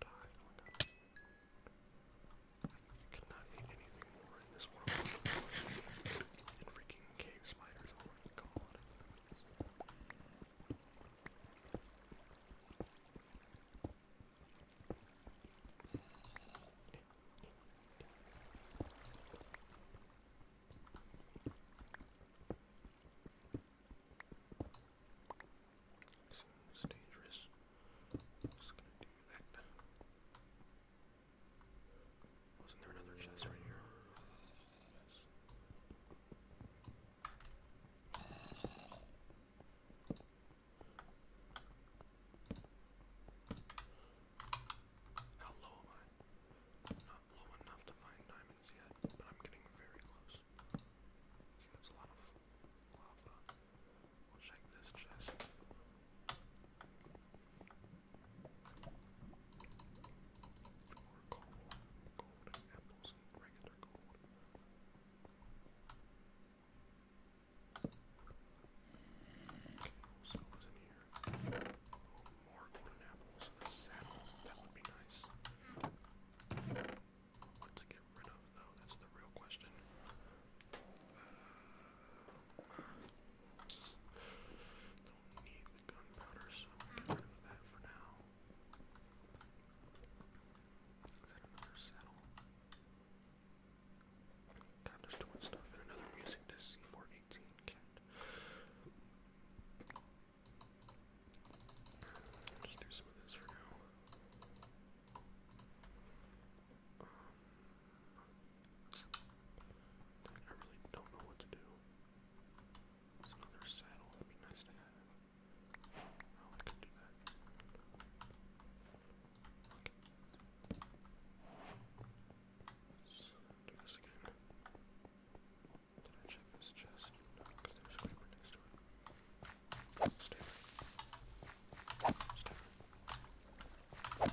Die, oh my god. You cannot hit anything more in this world. And freaking cave spiders, oh my god. So it's dangerous. I'm just gonna do that. Wasn't there another chest right here? Yes. How low am I? Not low enough to find diamonds yet, but I'm getting very close. that's a lot of lava. We'll check this chest. Or coal. Gold and apples just regular gold. Okay, we'll here. more golden apples. that would be nice. to get rid of, though? That's the real question. don't need gunpowder, so I'm going that for now. Is that another saddle? God, there's too much stuff, another music disc C418 just do some of this for now. Um, I really don't know what to do. There's another saddle, that'd be nice to have. Oh, I can do that. Okay. So, do this again. Did I check this chest? No, because there's a creeper next to it. Stay there. Stay there. Okay,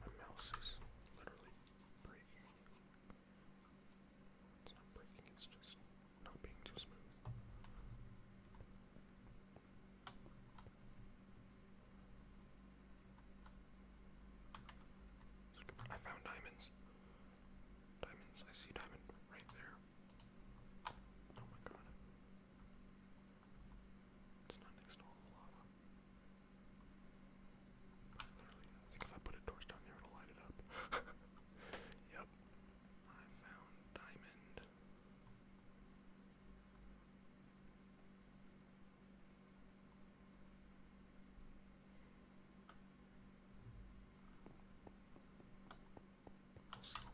My mouse is literally breaking. It's not breaking, it's just not being smooth. I found diamonds. Diamonds, I see diamond right there. Oh my god. It's not next to all the lava. literally I if I put a torch down there, it'll light it up. yep. I found diamond. we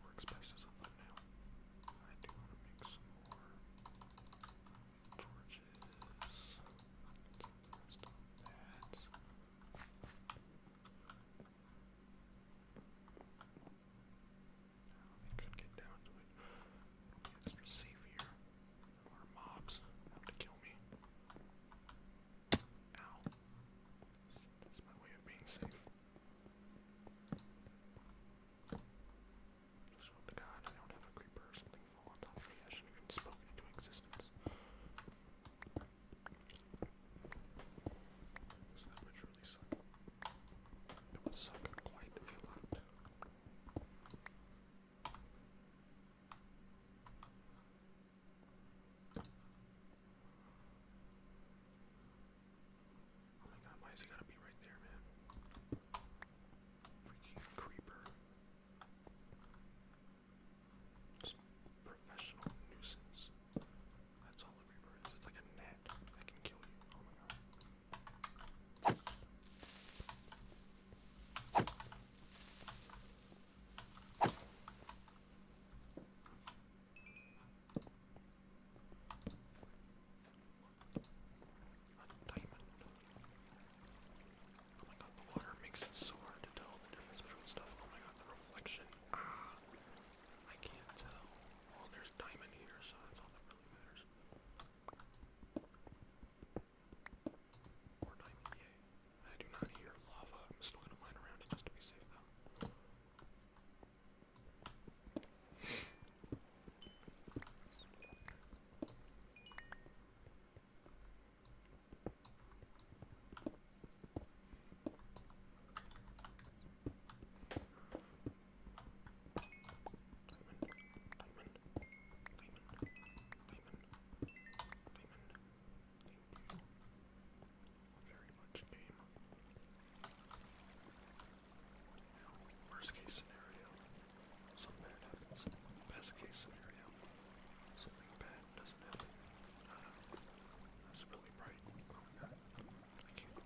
works best as a thumbnail. I do want to make some Torches. Stop Now they could get down to it. Okay, this is More mobs to kill me. Ow. That's my way of being safe. Just hope to God I don't have a creeper or something fall on top of me. I should have spoken into existence. Because that would truly suck. It would suck quite a lot. Oh my god, why gotta be right there, man? Freaking creeper. Just professional nuisance. That's all a creeper is. It's like a gnat that can kill you. Oh my god diamond. Oh my god, the water makes it so hard to tell the difference between stuff. Oh my god, the reflection. Ah! I can't tell. Well, there's diamond here, so that's all that really matters. Or I do not hear lava. I'm still gonna mine around just to be safe, very much game. Worst case scenario, something bad happens. Best case scenario, something bad doesn't happen. Uh, that's really bright. Oh my god. I can't.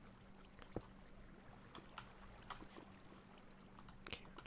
Can't. Uh, can't.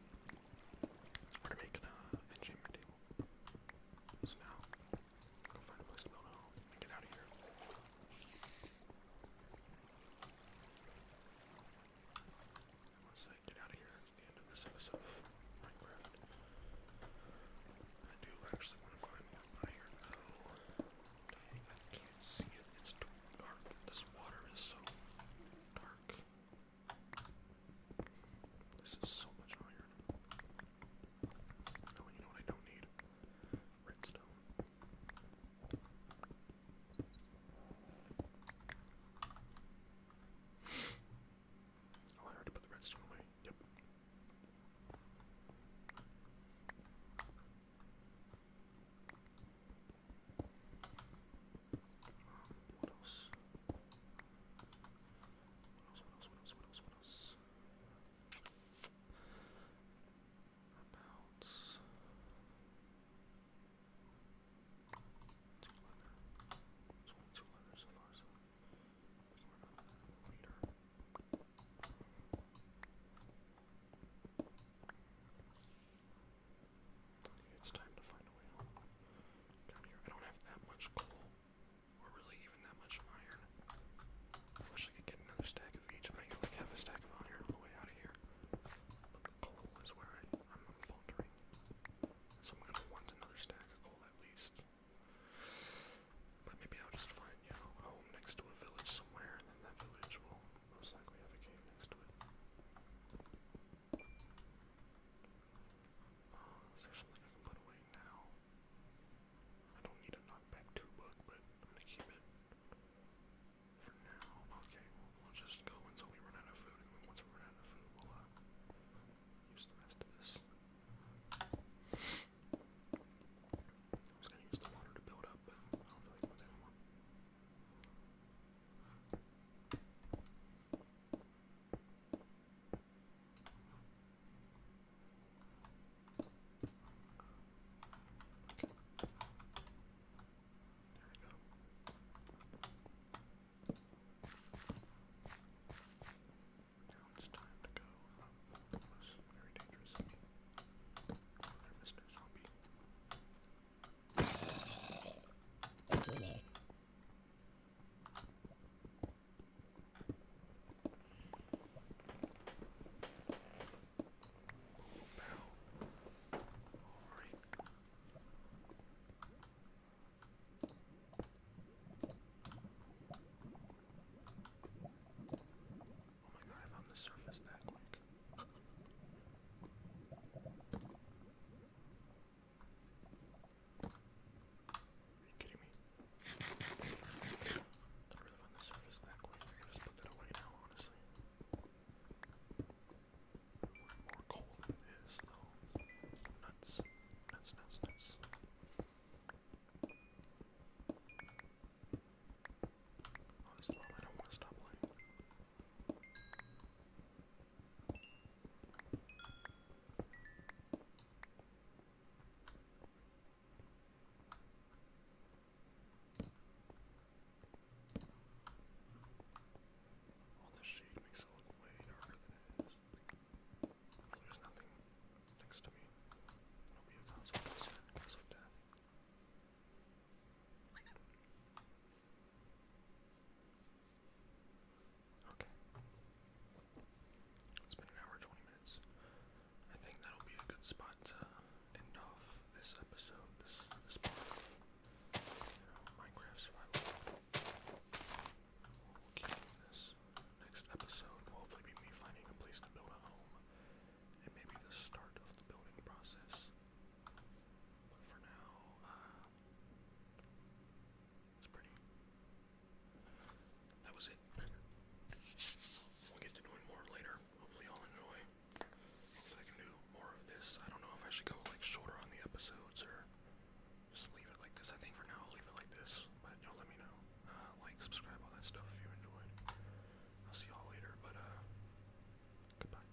We're making an enchantment table. So now, go find a place to build a home and get out of here. Once I get out of here, that's the end of this episode of Minecraft. I do actually want to find iron though. I can't see it. It's too dark. This water is so dark. This is so much iron. Oh, you know what I don't need? Redstone. Oh, I heard put the redstone away. Yep. What else? What else? What else? What else? What else? About two leather. There's only two leather so far, so we can run out of that later it's time to find a way home. Down here. I don't have that much coal, or really even that much iron. I wish I could get another stack of each. I might get like half a stack of iron on the way out of here. But the coal is where I, I'm, faltering. So I'm gonna want another stack of coal at least. But maybe I'll just find, you know, home next to a village somewhere, and then that village will most likely have a cave next to it is there something I can put away now? I don't need a knockback two book, but I'm gonna keep it for now. Okay, we'll just go until we run out of food, and once we run out of food, we'll uh, use the rest of this. I was gonna use the water to build up, but I don't feel like doing that now it's time to go. Oh, that very dangerous. Mr. Zombie. Oh my god, I found the surface that quick. Are you kidding me? Not really find the surface that quick. I can just put that away now, honestly. More coal than this, though. Nuts. Nuts, nuts, nuts. Honestly, I don't want to stop playing. All this shade makes it look way darker than it is. Well, there's nothing next to me. It'll be a consequence of death. Okay. It's been an hour 20 minutes. I think that'll be a good spot to end off this episode, this, Minecraft Survival. we this. Next episode will hopefully be me finding a place to build a home, and maybe the start of the building process. But for now, uh, that was it. We'll get to doing more later. Hopefully, y'all enjoy. Hopefully, I can do more of this. I don't know if I should go like shorter on the episodes or just leave it like this. I think for now I'll leave it like this. But y'all let me know. Uh, like, subscribe, all that stuff if you enjoyed. I'll see y'all later. But uh, goodbye.